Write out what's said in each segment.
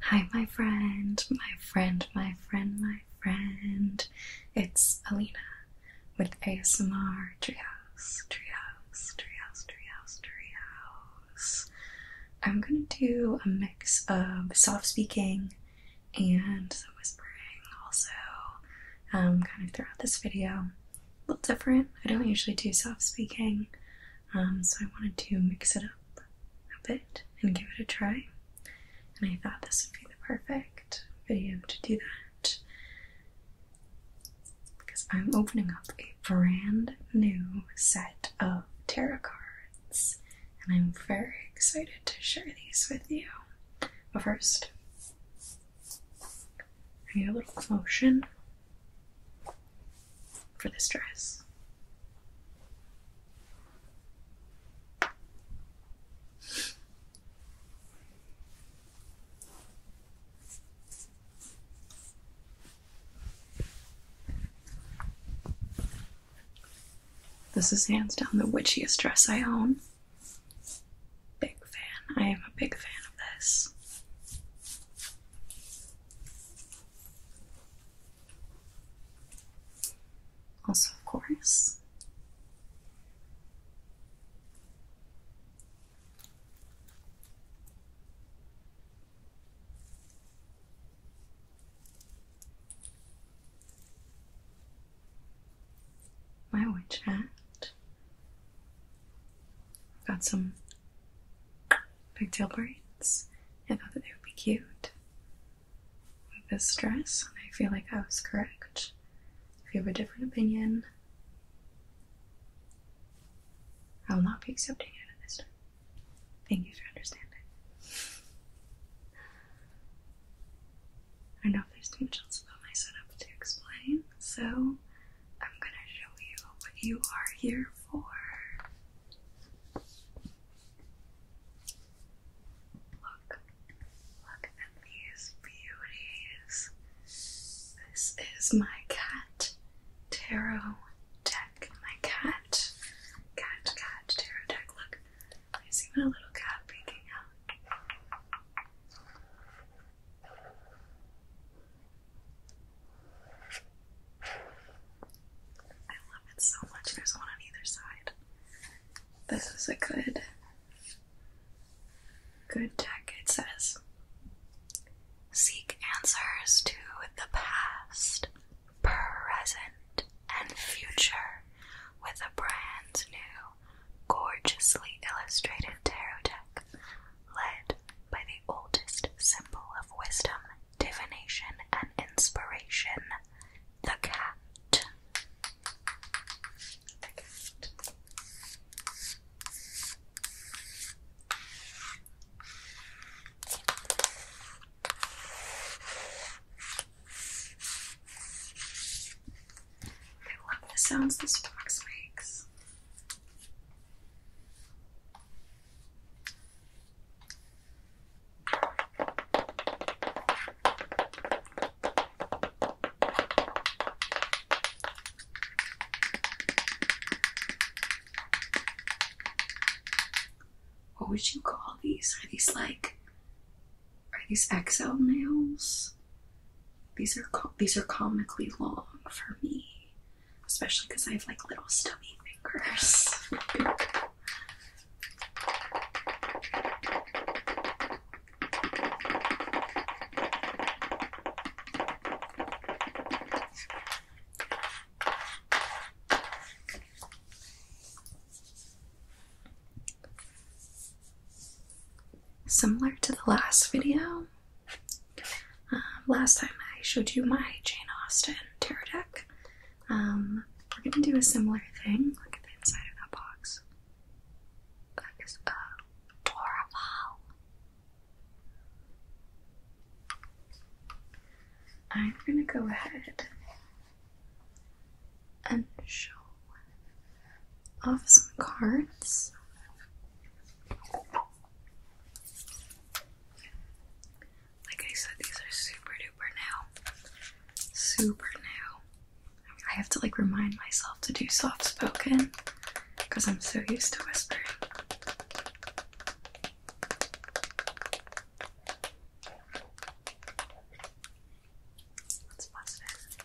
Hi, my friend, my friend, my friend, my friend. It's Alina with ASMR Treehouse, Treehouse, Treehouse, Treehouse, Treehouse. I'm gonna do a mix of soft speaking and some whispering also um, kind of throughout this video. A little different. I don't usually do soft speaking, um, so I wanted to mix it up a bit and give it a try. And I thought this would be the perfect video to do that because I'm opening up a brand new set of tarot cards and I'm very excited to share these with you. But first, I need a little motion for this dress. This is hands down the witchiest dress I own. Big fan. I am a big fan of this. Also, of course, my witch hat. Got some pigtail braids. I thought that they would be cute. With this dress, and I feel like I was correct. If you have a different opinion, I will not be accepting it at this time. Thank you for understanding. I know if there's too much else about my setup to explain, so I'm gonna show you what you are here for. Look, look at these beauties. This is my cat tarot deck. My cat, cat, cat tarot deck. Look, there's even a little cat peeking out. I love it so much. There's one on either side. This is a good, good deck. It says Seek answers to the past, present, and future with a brand new, gorgeously illustrated tarot deck led by the oldest symbol of wisdom divination, and inspiration. The cat. I love the sounds this box makes. What would you call these? Are these like are these XL nails? These are these are comically long for me especially because I have like little stubby fingers. Similar to the last video, um, last time I showed you my Jane Austen tarot deck. Um, we're gonna do a similar thing. Look at the inside of that box. That is adorable. I'm gonna go ahead and show off some cards. Like I said, these are super duper new. Super new. I have to like remind myself to do soft spoken because I'm so used to whispering. Let's bust it.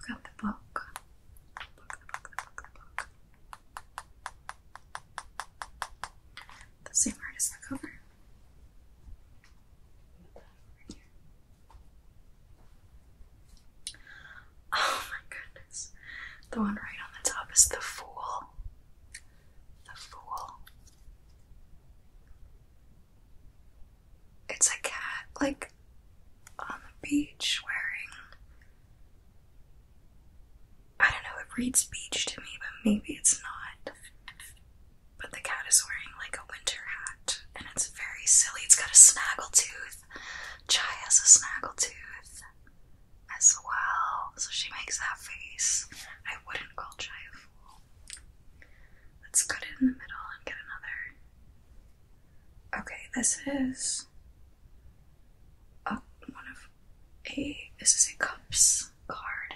I've got the book. The same art as the cover. Oh my goodness. The one right on the top is the fool. The fool. It's a cat, like on the beach wearing. I don't know, it reads beach to me, but maybe it's not. But the cat is wearing like a winter hat, and it's very silly. It's got a snaggletooth. Chai has a snaggletooth as well, so she makes that face. I wouldn't call Chai a fool. Let's cut it in the middle and get another Okay, this is a, uh, one of a this is a cups card.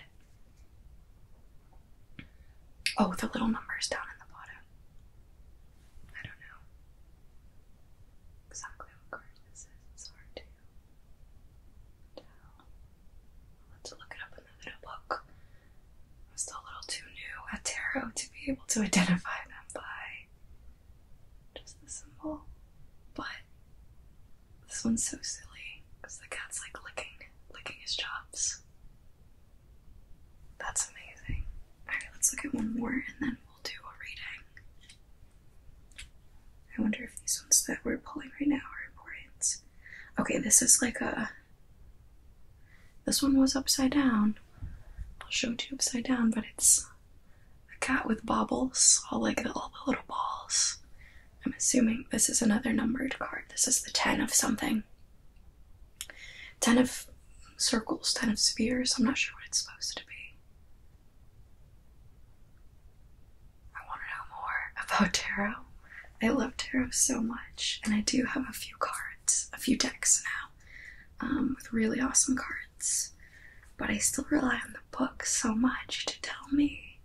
Oh, the little numbers down in the bottom. I don't know exactly what card this is. It's hard to tell. Let's look it up in the little I am still a little too new at tarot to be able to identify them by just the symbol. But this one's so silly because the cat's like licking, licking his chops. That's amazing. Alright, let's look at one more and then we'll do a reading. I wonder if these ones that we're pulling right now are important. Okay, this is like a this one was upside down. I'll show you upside down, but it's a cat with baubles, all like all the little balls. I'm assuming this is another numbered card. This is the 10 of something. 10 of circles, 10 of spheres. I'm not sure what it's supposed to be. I want to know more about tarot. I love tarot so much, and I do have a few cards, a few decks now. Um, with really awesome cards. But I still rely on the book so much to tell me.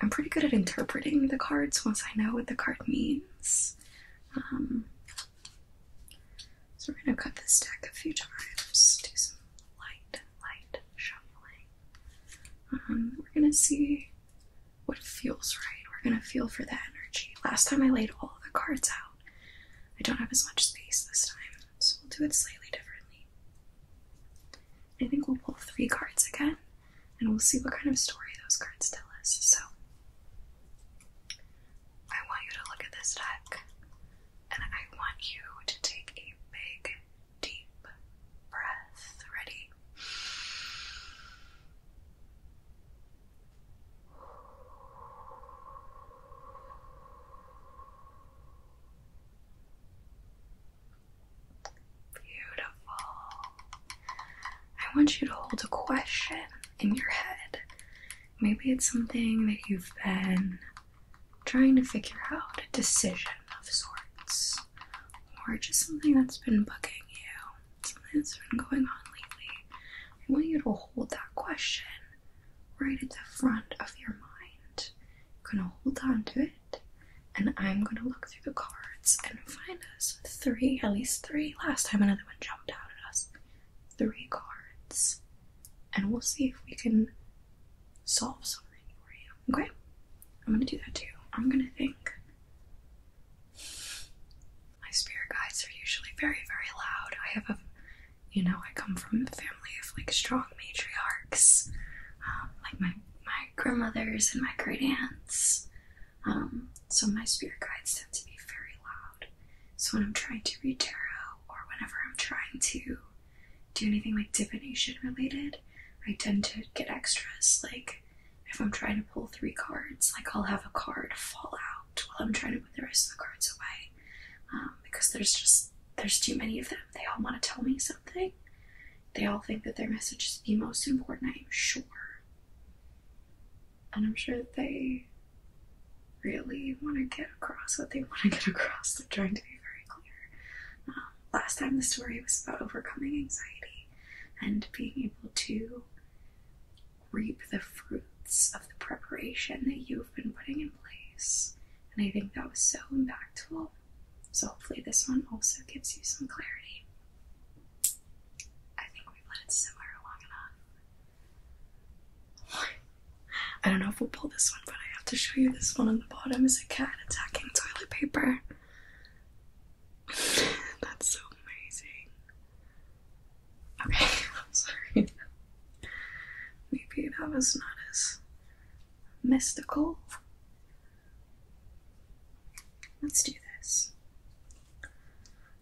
I'm pretty good at interpreting the cards once I know what the card means. Um, so we're going to cut this deck a few times, do some light, light shuffling. Um, we're going to see what feels right. We're gonna feel for that energy. Last time I laid all the cards out. I don't have as much space this time, so we'll do it slightly differently. I think we'll pull three cards again, and we'll see what kind of story those cards tell us. So, I want you to look at this deck, and I want you to take a big, deep breath. Ready? Beautiful. I want you to hold a question in your head. Maybe it's something that you've been trying to figure out, a decision of sorts, or just something that's been bugging you something that's been going on lately, I want you to hold that question right at the front of your mind. You're gonna hold on to it, and I'm gonna look through the cards and find us three, at least three. Last time another one jumped out at us. Three cards, and we'll see if we can solve something for you. Okay? I'm gonna do that too. I'm gonna think. My spirit guides are usually very, very loud. I have a, you know, I come from a family of like strong matriarchs, um, like my my grandmothers and my great aunts. Um, so my spirit guides tend to be very loud. So when I'm trying to read tarot or whenever I'm trying to do anything like divination related, I tend to get extras like if I'm trying to pull three cards, like I'll have a card fall out while I'm trying to put the rest of the cards away. Um, because there's just there's too many of them. They all want to tell me something. They all think that their message is the most important, I'm sure. And I'm sure that they really want to get across what they want to get across. They're trying to be very clear. Um, last time the story was about overcoming anxiety and being able to reap the fruits of the preparation that you've been putting in place. And I think that was so impactful. So hopefully this one also gives you some clarity. I think we've let it simmer long enough. I don't know if we'll pull this one, but I have to show you this one on the bottom is a cat attacking toilet paper. That's so amazing. Okay, I'm sorry. Maybe that was not as mystical. Let's do this.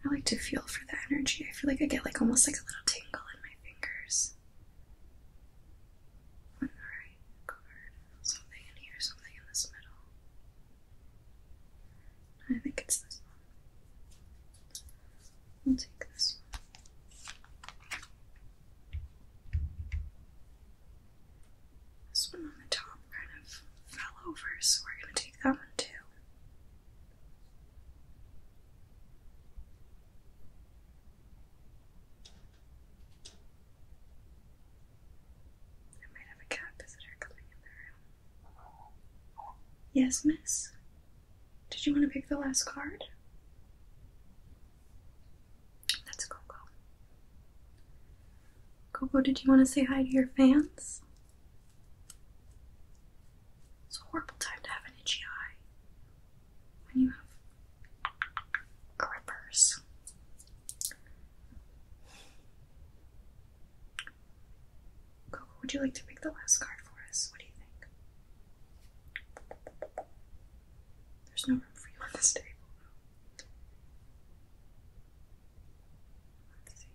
I like to feel for the energy. I feel like I get like almost like a little tingle in my fingers. One right Something in here, something in this middle. I think it's this one. I'll take this one. This one on the top kind of fell over, so we're going to take that one too. I might have a cat visitor coming in the room. Yes, miss? Did you want to pick the last card? That's Coco. Coco, did you want to say hi to your fans? It's a horrible time to have an itchy eye when you have grippers. Coco, would you like to pick the last card for us? What do you think? There's no room for you on this table. Let's see.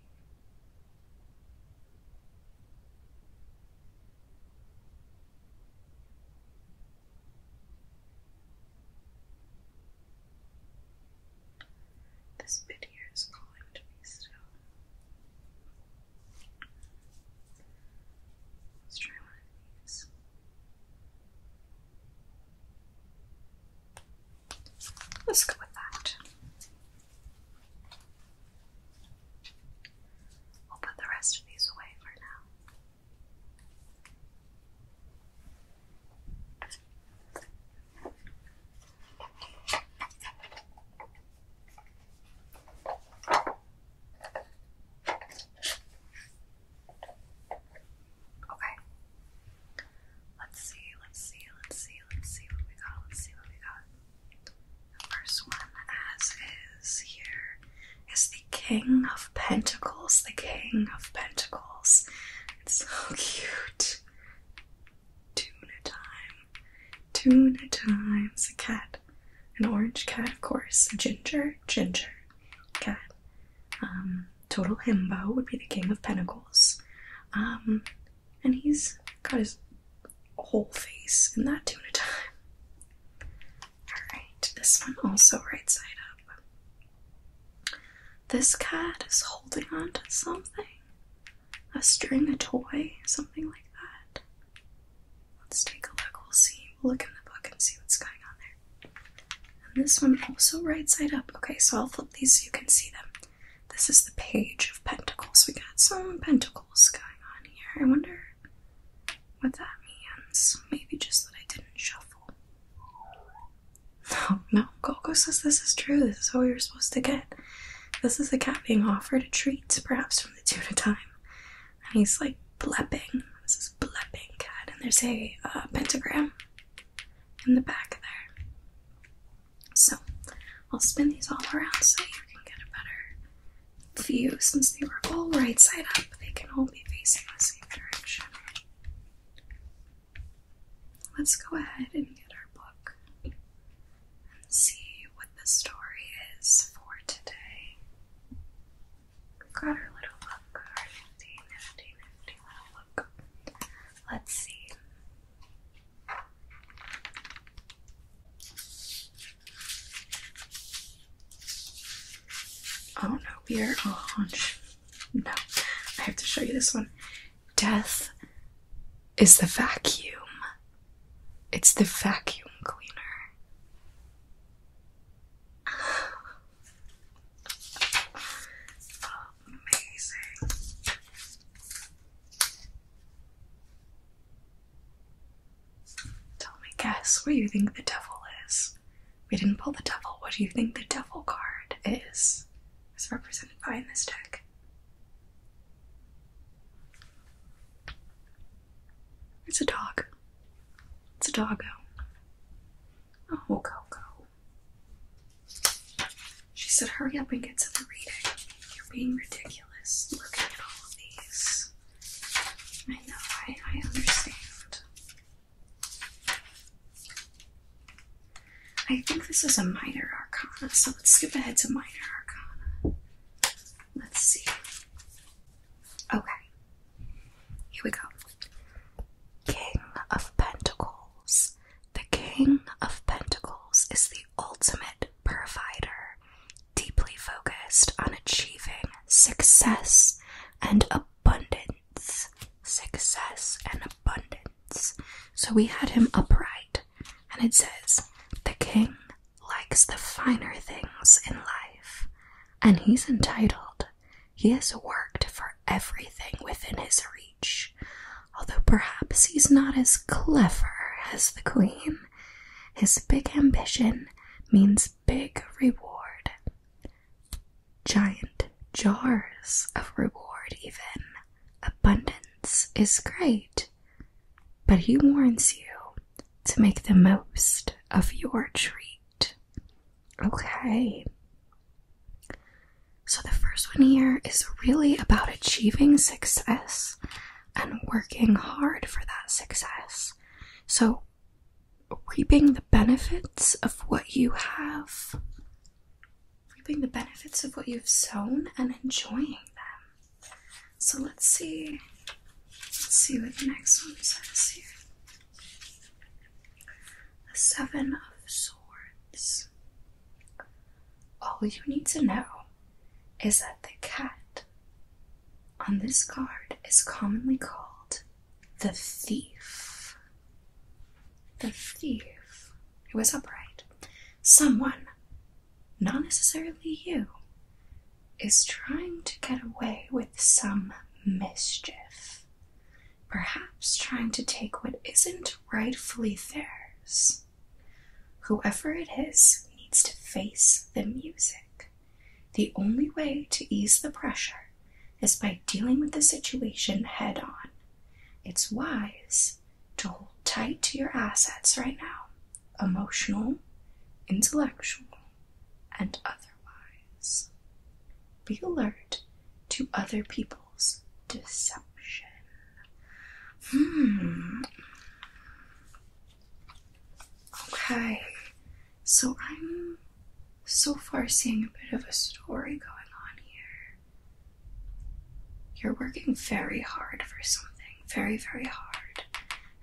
This bit here is calling to me still. Let's try one of these. Let's go with that. We'll put the rest of these away for now. Okay. Let's see, let's see, let's see, let's see what we got, let's see what we got. The first one, as is here, is the King of Pentacles. The King of Pentacles. so cute. Tuna time. Tuna time. It's a cat. An orange cat, of course. ginger, ginger cat. Um, total himbo would be the king of pentacles. Um, and he's got his whole face in that tuna time. Alright, this one also right side up. This cat is holding on to something. A string, a toy, something like that. Let's take a look. We'll see. We'll look in the book and see what's going on there. And this one also right side up. Okay, so I'll flip these so you can see them. This is the page of pentacles. We got some pentacles going on here. I wonder what that means. Maybe just that I didn't shuffle. No, no. Coco says this is true. This is all you're supposed to get. This is the cat being offered a treat, perhaps from the tuna time. And he's like blepping. This is blepping cat. And there's a uh, pentagram in the back there. So I'll spin these all around so you can get a better view. Since they were all right side up, they can all be facing the same direction. Let's go ahead and get our book and see what the story is for today. we got our little book, our nifty, little book. Let's see. Oh no, we are all on. No, I have to show you this one. Death is the vacuum. It's the vacuum cleaner. Amazing. Tell me, guess what you think the devil is. We didn't pull the devil. What do you think the devil card is? is represented by in this deck. It's a dog. It's a doggo. Oh, go, go. She said, hurry up and get to the reading. You're being ridiculous looking at all of these. I know, I, I understand. I think this is a minor arcana, so let's skip ahead to minor arcana. Let's see. Okay. Here we go. King of Pentacles. The King of Pentacles is the ultimate provider, deeply focused on achieving success and abundance success, and abundance. So we had him upright, and it says, The king likes the finer things in life, and he's entitled. He has worked for everything within his reach, although perhaps he's not as clever as the queen. His big ambition means big reward giant jars of reward, even. Abundance is great, but he warns you to make the most of your treat. Okay. So, the first one here is really about achieving success and working hard for that success. So, reaping the benefits of what you have reaping the benefits of what you've sown and enjoying them. So let's see let's see what the next one says here. The Seven of Swords. All you need to know is that the cat on this card is commonly called the thief. The thief who is upright, someone, not necessarily you, is trying to get away with some mischief. Perhaps trying to take what isn't rightfully theirs. Whoever it is needs to face the music. The only way to ease the pressure is by dealing with the situation head on. It's wise to hold tight to your assets right now emotional, intellectual, and otherwise. Be alert to other people's deception. Hmm. Okay, so I'm so far seeing a bit of a story going on here. You're working very hard for something, very, very hard,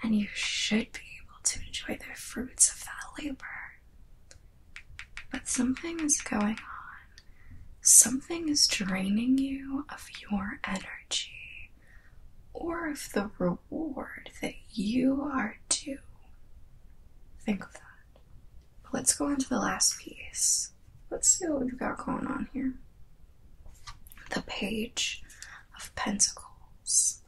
and you should be able to enjoy the fruits of that labor. But something is going on. Something is draining you of your energy or of the reward that you are due. Think of that let's go on to the last piece. Let's see what we've got going on here. The Page of Pentacles.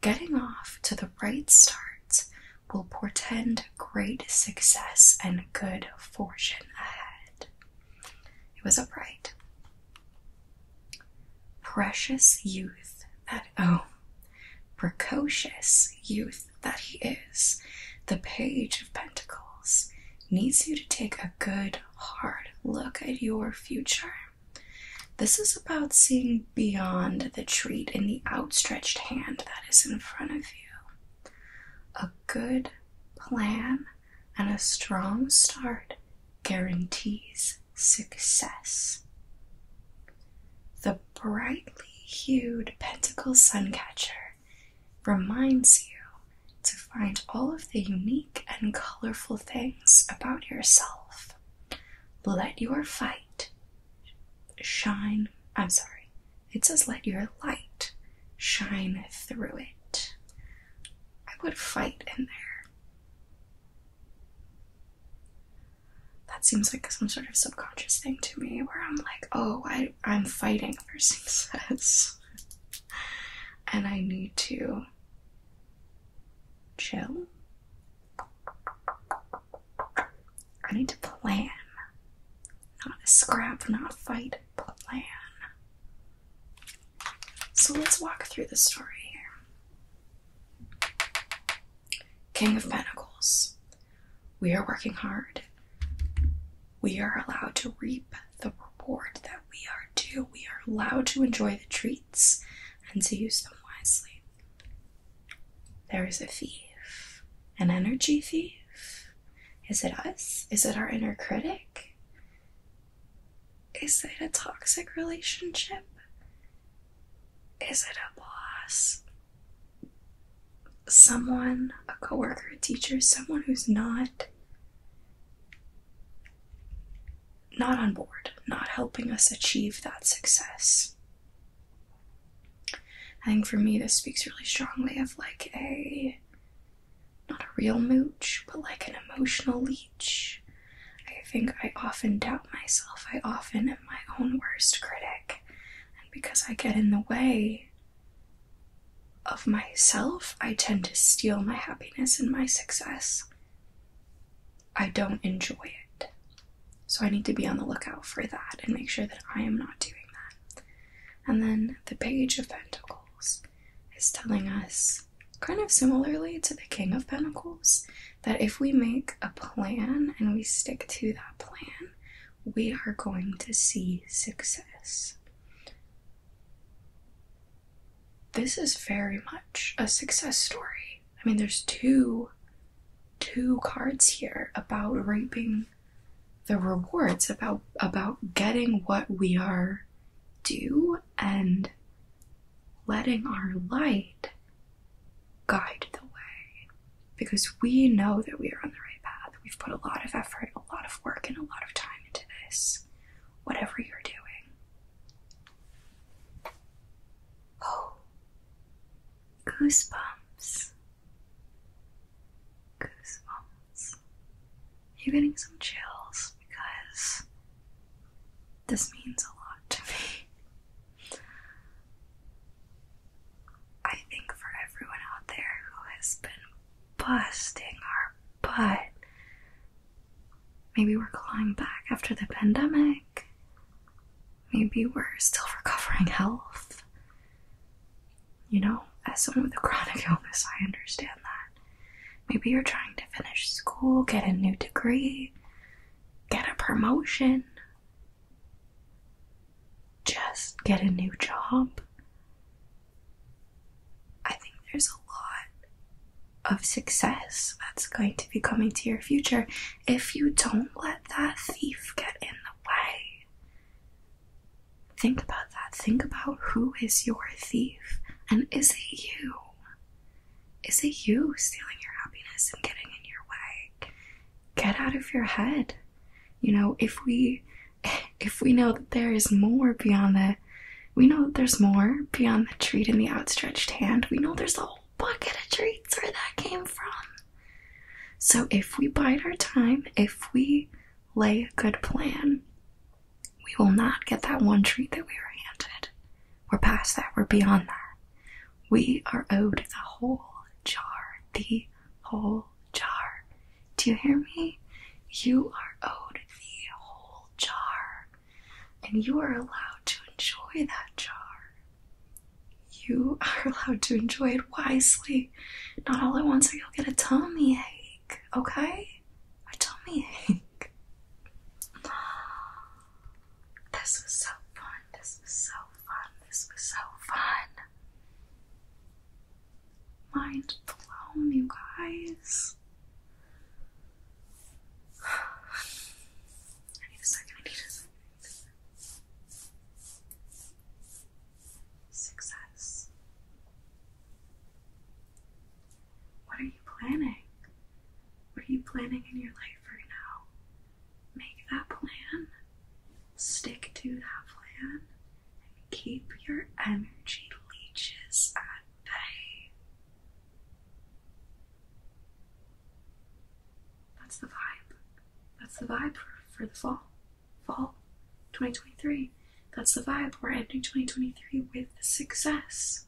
Getting off to the right start will portend great success and good fortune ahead. It was upright. Precious youth that, oh precocious youth that he is, the Page of Pentacles needs you to take a good, hard look at your future. This is about seeing beyond the treat in the outstretched hand that is in front of you. A good plan and a strong start guarantees success. The brightly hued pentacle sun catcher reminds you to find all of the unique and colorful things about yourself. Let your fight shine. I'm sorry, it says let your light shine through it. I would fight in there. That seems like some sort of subconscious thing to me where I'm like, oh, I, am fighting for success and I need to chill. I need to plan. Not scrap, not fight, plan. So let's walk through the story here. King of Pentacles, we are working hard. We are allowed to reap the reward that we are due. We are allowed to enjoy the treats and to use them wisely. There is a thief, an energy thief. Is it us? Is it our inner critic? Is it a toxic relationship? Is it a boss? Someone, a coworker, a teacher, someone who's not not on board, not helping us achieve that success. I think for me this speaks really strongly of like a not a real mooch, but like an emotional leech. I think I often doubt myself. I often my own worst critic, and because I get in the way of myself, I tend to steal my happiness and my success. I don't enjoy it. So I need to be on the lookout for that and make sure that I am not doing that. And then the Page of Pentacles is telling us, kind of similarly to the King of Pentacles, that if we make a plan and we stick to that plan, we are going to see success. This is very much a success story. I mean, there's two two cards here about reaping the rewards about about getting what we are due and letting our light guide the way because we know that we are on the right path. We've put a lot of effort, a lot of work, and a lot of time into this, whatever you're doing. Oh, goosebumps. Goosebumps. You're getting some chills because this means a lot to me. I think for everyone out there who has been busting our butt, maybe we're clawing back after the pandemic, maybe we're still recovering health. You know, as someone with a chronic illness, I understand that. Maybe you're trying to finish school, get a new degree, get a promotion, just get a new job. I think there's a lot of success that's going to be coming to your future if you don't let that thief get in the way. Think about that. Think about who is your thief and is it you? Is it you stealing your happiness and getting in your way? Get out of your head. You know, if we if we know that there is more beyond the we know that there's more beyond the treat in the outstretched hand. We know there's a whole bucket of treats where that came from. So if we bide our time, if we lay a good plan, we will not get that one treat that we were handed. We're past that. We're beyond that. We are owed the whole jar. The whole jar. Do you hear me? You are owed the whole jar. And you are allowed to enjoy that jar. You are allowed to enjoy it wisely. Not all at once, or you'll get a tummy ache. Okay? A tummy ache. This was so fun. This was so fun. This was so fun. Mind blown, you guys. I need a second. I need a second. Success. What are you planning? What are you planning in your life right now? Make that plan, stick to that plan, and keep your energy leeches at bay. That's the vibe. That's the vibe for, the fall. Fall 2023. That's the vibe. We're ending 2023 with success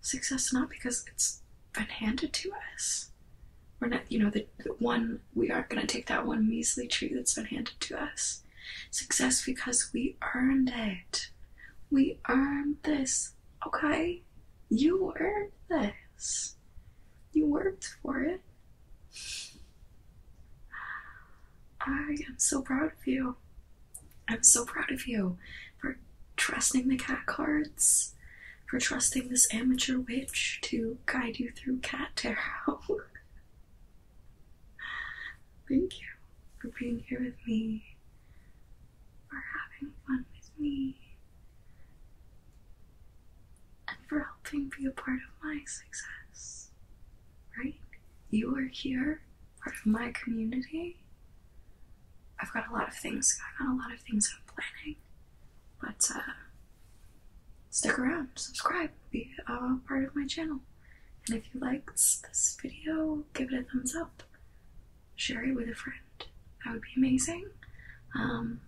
success not because it's been handed to us. We're not, you know, the, one, we aren't going to take that one measly tree that's been handed to us. Success because we earned it. We earned this, okay? You earned this. You worked for it. I am so proud of you. I'm so proud of you for trusting the cat cards, for trusting this amateur witch to guide you through cat tarot. Thank you for being here with me, for having fun with me, and for helping be a part of my success. Right? You are here, part of my community. I've got a lot of things. I've got a lot of things I'm planning. But uh, stick around, subscribe, be a part of my channel. And if you liked this video, give it a thumbs up. Share it with a friend. That would be amazing. Um,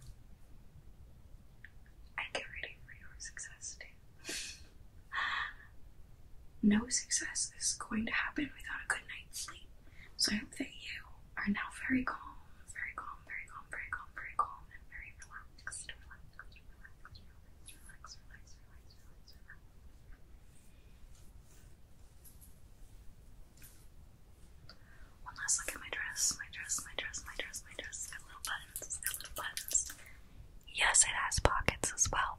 I get ready for your success today. No success is going to happen without a good night's sleep. So I hope that you are now very calm, very calm, very calm, very calm, very calm, and very relaxed, relaxed, relaxed, relaxed, relaxed, relaxed, relaxed, relaxed, relaxed. One last look at my dress, my dress, my dress, my dress, my dress. got little buttons, got little buttons. Yes, it has pockets as well